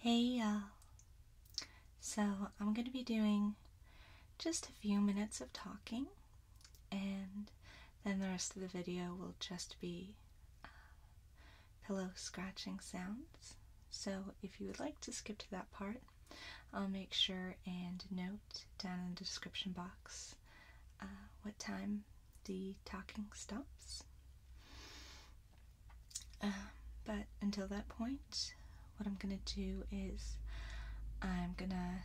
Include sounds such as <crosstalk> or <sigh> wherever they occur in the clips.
Hey y'all. So, I'm going to be doing just a few minutes of talking, and then the rest of the video will just be uh, pillow scratching sounds. So, if you would like to skip to that part, I'll make sure and note down in the description box uh, what time the talking stops. Um, but until that point, what I'm gonna do is I'm gonna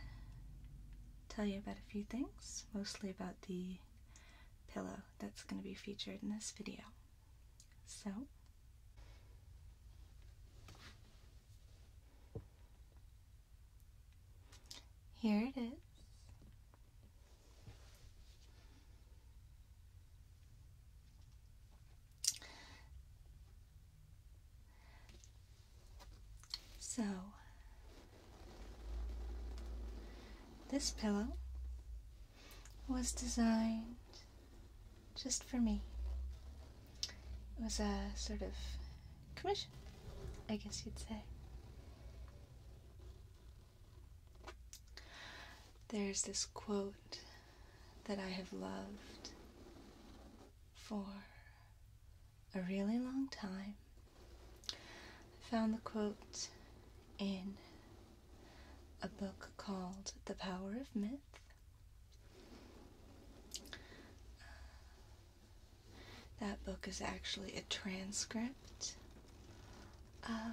tell you about a few things, mostly about the pillow that's gonna be featured in this video. So, here it is. So, this pillow was designed just for me. It was a sort of commission, I guess you'd say. There's this quote that I have loved for a really long time. I found the quote in a book called The Power of Myth. Uh, that book is actually a transcript of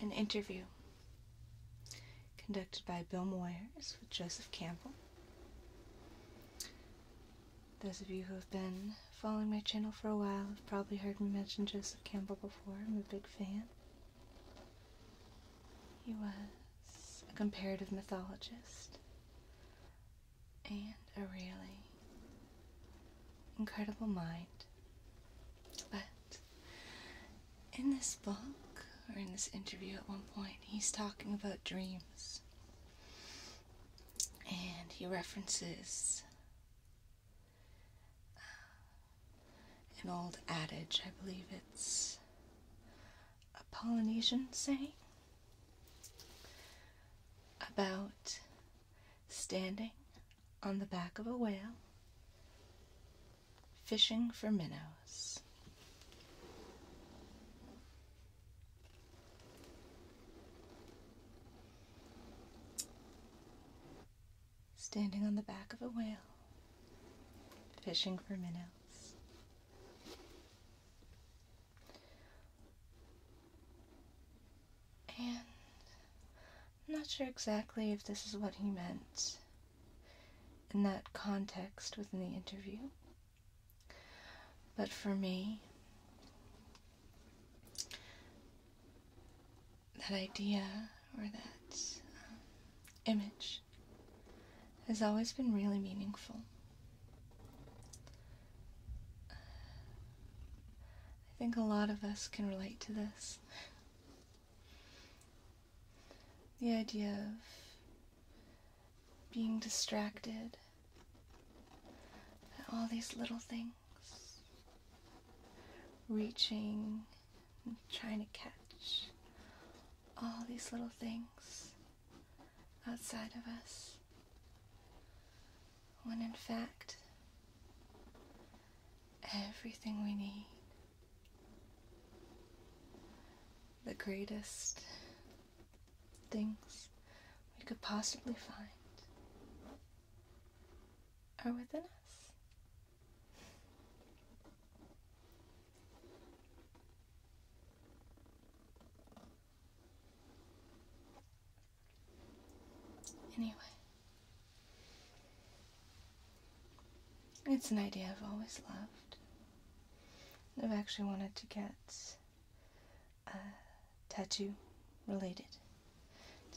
an interview conducted by Bill Moyers with Joseph Campbell. Those of you who have been following my channel for a while have probably heard me mention Joseph Campbell before. I'm a big fan. He was a comparative mythologist and a really incredible mind. But in this book, or in this interview at one point, he's talking about dreams. And he references an old adage. I believe it's a Polynesian saying about standing on the back of a whale fishing for minnows standing on the back of a whale, fishing for minnows. And I'm not sure exactly if this is what he meant in that context within the interview. But for me, that idea or that um, image has always been really meaningful. I think a lot of us can relate to this. the idea of being distracted by all these little things, reaching trying to catch all these little things outside of us when in fact everything we need the greatest things we could possibly find are within us. Anyway, it's an idea I've always loved. I've actually wanted to get a uh, tattoo related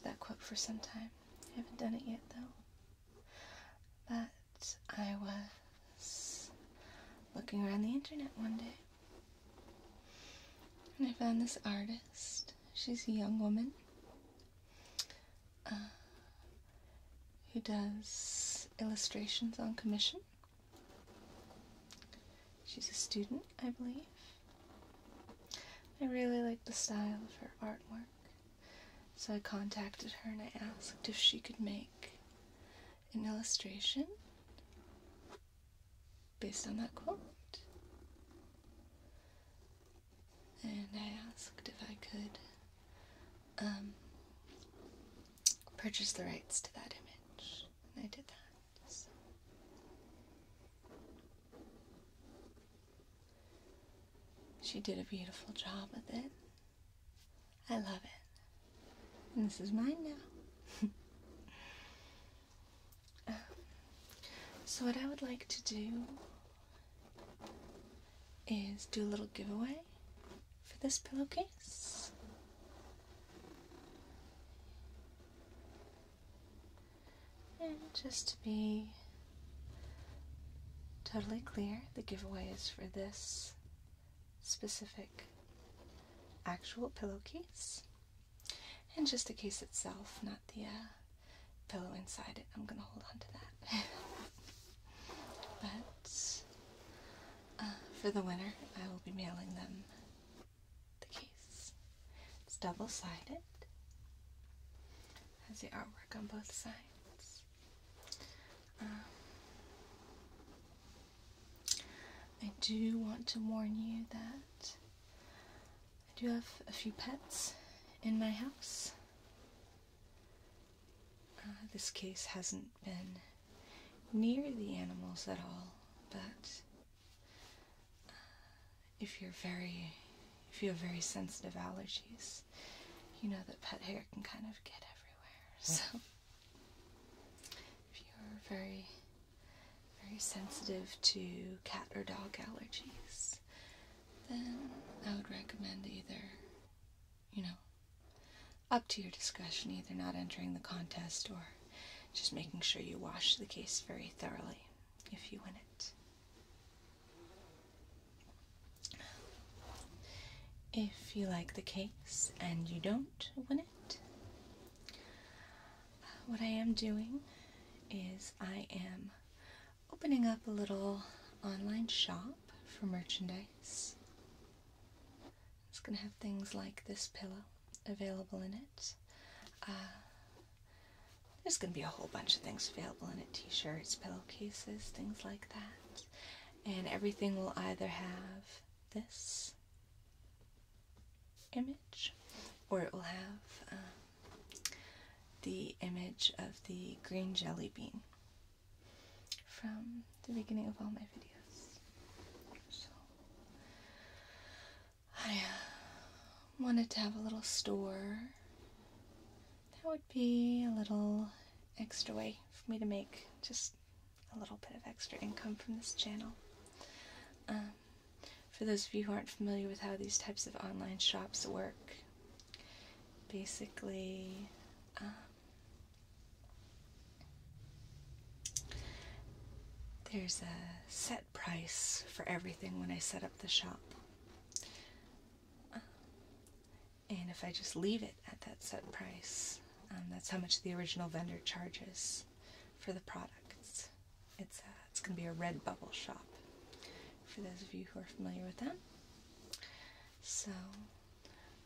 that quote for some time. I haven't done it yet, though. But I was looking around the internet one day, and I found this artist. She's a young woman uh, who does illustrations on commission. She's a student, I believe. I really like the style of her artwork so I contacted her and I asked if she could make an illustration based on that quote. And I asked if I could um, purchase the rights to that image, and I did that. She did a beautiful job with it. I love it. And this is mine now. <laughs> Um, so, what I would like to do is do a little giveaway for this pillowcase. And just to be totally clear, the giveaway is for this specific actual pillowcase and just the case itself, not the uh, pillow inside it. I'm gonna hold on to that. <laughs> but uh, for the winner, I will be mailing them the it's double sided, has the artwork on both sides. Um, I do want to warn you that I do have a few pets in my house. Uh, this case hasn't been near the animals at all, but if you're very if you have very sensitive allergies, you know that pet hair can kind of get everywhere. So if you're very very sensitive to cat or dog allergies, then I would recommend either, you know, up to your discretion, either not entering the contest or just making sure you wash the case very thoroughly if you win it. If you like the case and you don't win it, what I am doing is I am opening up a little online shop for merchandise. It's going to have things like this pillow available in it. Uh, there's going to be a whole bunch of things available in it t-shirts, pillowcases, things like that. And everything will either have this image or it will have um, the image of the green jelly bean from the beginning of all my videos. I uh, wanted to have a little store. That would be a little extra way for me to make just a little bit of extra income from this channel. Um, for those of you who aren't familiar with how these types of online shops work, basically, um, there's a set price for everything when I set up the shop. Um, and if I just leave it at that set price, um, that's how much the original vendor charges for the products. It's uh, it's going to be a red bubble shop for those of you who are familiar with them. So,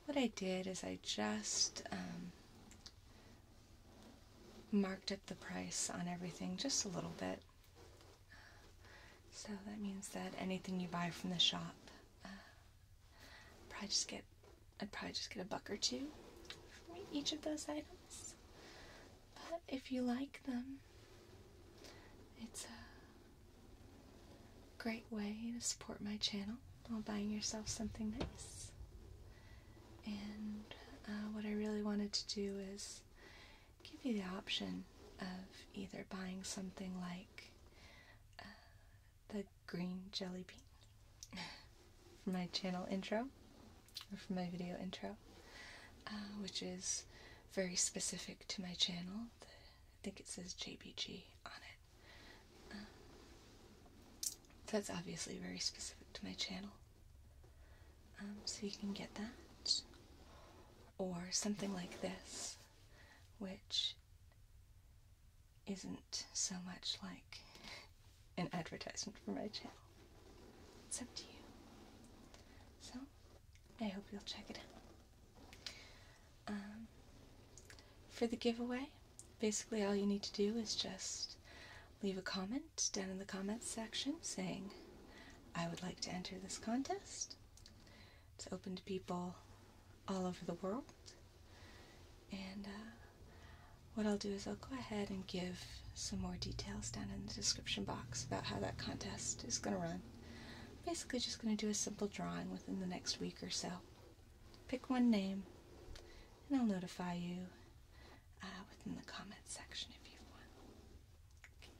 what I did is I just um, marked up the price on everything just a little bit. So that means that anything you buy from the shop, uh, probably just get I'd probably just get a buck or two for each of those items. But if you like them, it's a great way to support my channel while buying yourself something nice. And uh, what I really wanted to do is give you the option of either buying something like uh, the green jelly bean for my channel intro, or for my video intro, uh, which is very specific to my channel. I think it says JBG on it. Uh, that's obviously very specific to my channel. Um, so you can get that. Or something like this, which isn't so much like an advertisement for my channel. It's up to you. So, I hope you'll check it out. Um, for the giveaway, basically all you need to do is just leave a comment down in the comments section saying, I would like to enter this contest. It's open to people all over the world. And uh, what I'll do is I'll go ahead and give some more details down in the description box about how that contest is going to run. basically just going to do a simple drawing within the next week or so. Pick one name, and I'll notify you uh, within the comment section if you want. Okay.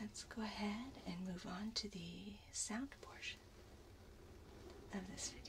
let's go ahead and move on to the sound portion of this video.